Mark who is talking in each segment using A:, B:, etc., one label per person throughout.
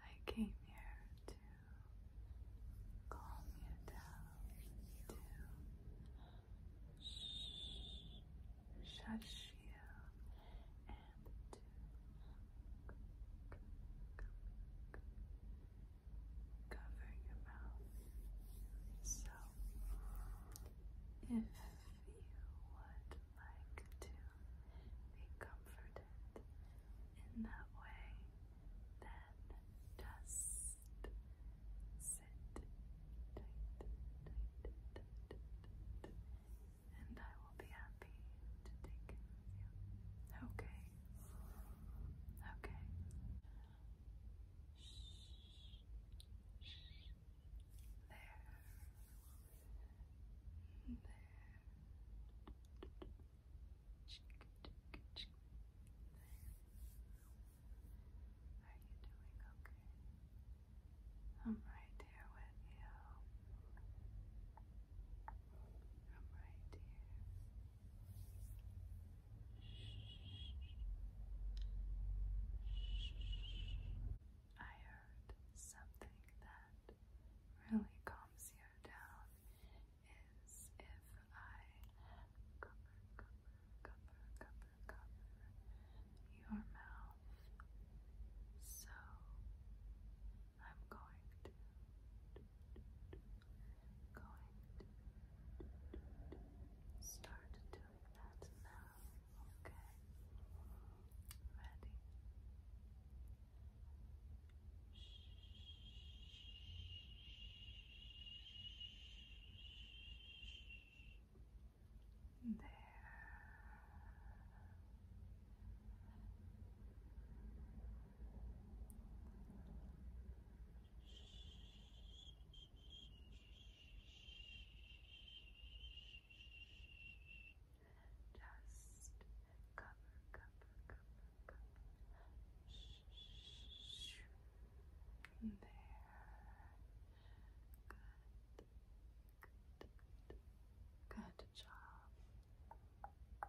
A: I came here to calm you down, to shush you, and to cover your mouth. So if you would like to be comforted in that way, then just sit and I will be happy to take care of you. Okay. Okay. There. There. Are you doing okay? I'm right here with you. I'm right here. I heard something that really calms you down is if I cover, cover, cover, cover, cover your mouth. So I'm going to going to start to doing that now, okay? Ready? There. Shh. Just cover, cover, cover, cover. There. Good. Good. Good job. Good.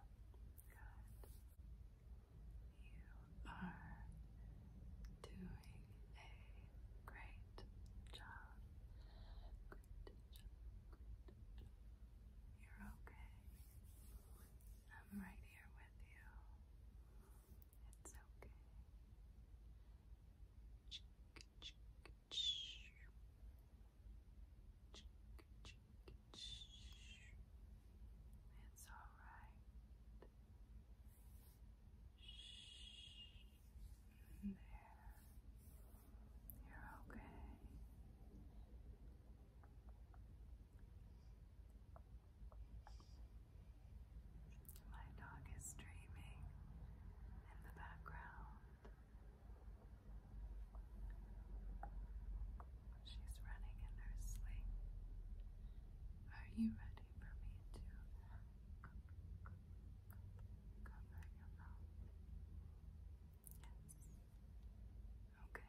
A: You are doing a great job. You're okay. I'm right here with you. It's okay. It's all right. Shh. There. You're okay. My dog is dreaming in the background. She's running in her sleep. Are you ready? ready for me to cover your mouth. Yes. Okay. Good. Good.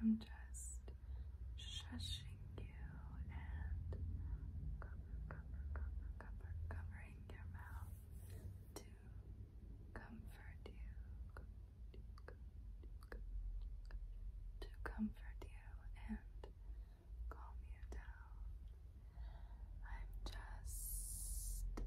A: I'm just shushing you and covering your mouth to comfort you to comfort you and calm you down. I'm just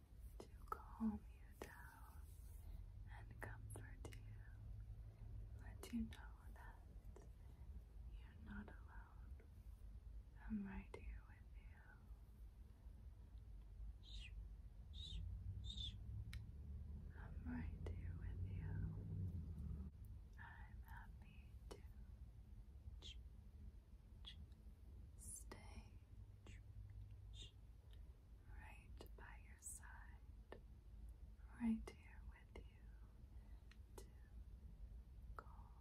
A: to calm you down and comfort you, let you know that you're not alone. I'm right here with you. I'm right here with you. I'm happy to. Stay right by your side, right here with you to calm,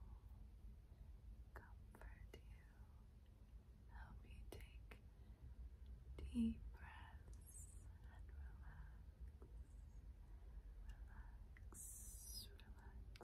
A: comfort you, help you take deep breaths and relax, relax, relax, relax.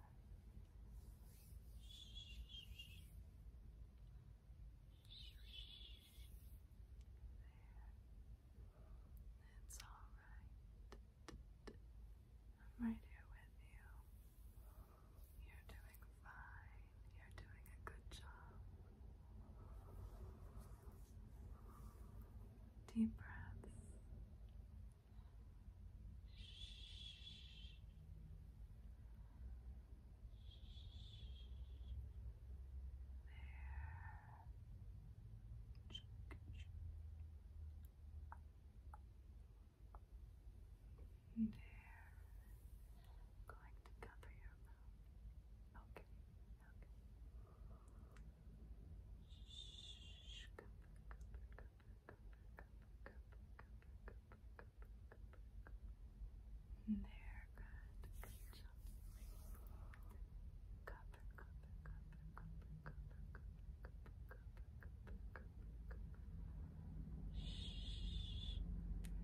A: It's all right. I'm right here with you. You're doing fine. You're doing a good job. Deep breaths. There. i going to cover your mouth. Okay, okay.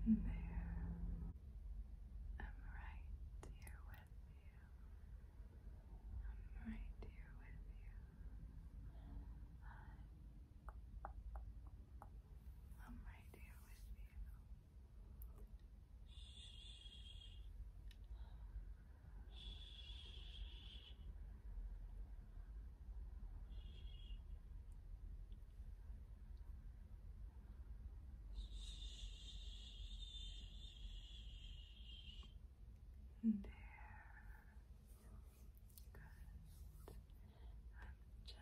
A: There, Shh. I'm right here with you. I'm right here with you. I'm right here with you. Shh. Shh. There. Good.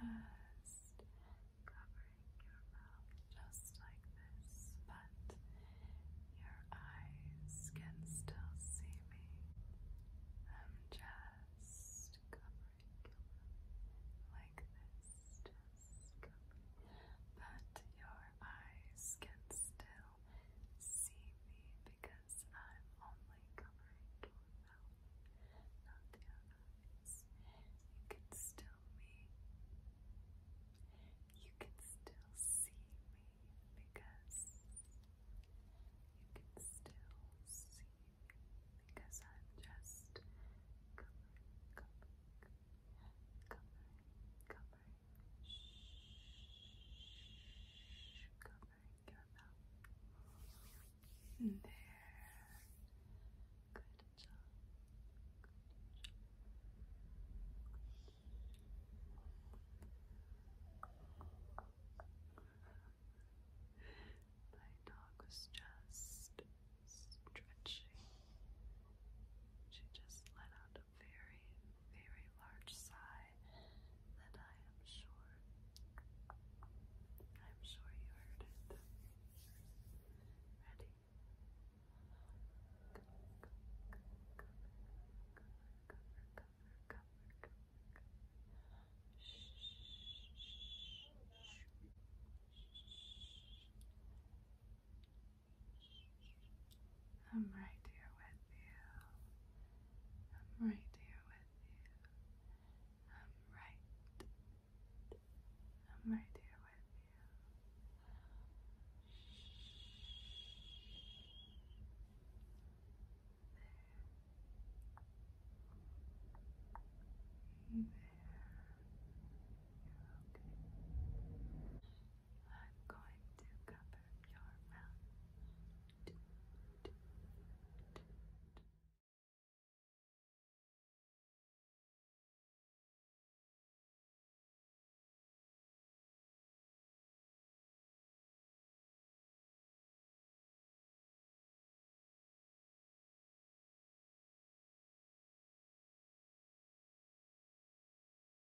A: I'm just covering your mouth just like this, but your eyes can still see me. I'm just covering your mouth like this, but your eyes can still see me because I'm only covering your mouth, not the eyes. You can still me. You can still see me because you can still see me because I'm just covering, covering, covering, covering Covering your There. Good job. My dog was just stretching. She just let out a very, very large sigh that I am sure, I'm sure you heard it. Ready? Cover, cover, cover, cover, cover, cover. Shh, shh, shh. Shh, shh, shh, shh, shh, I'm right here with you. I'm right here with you. I'm right. I'm right here with you. There. There. You're okay. I'm going to cover your mouth.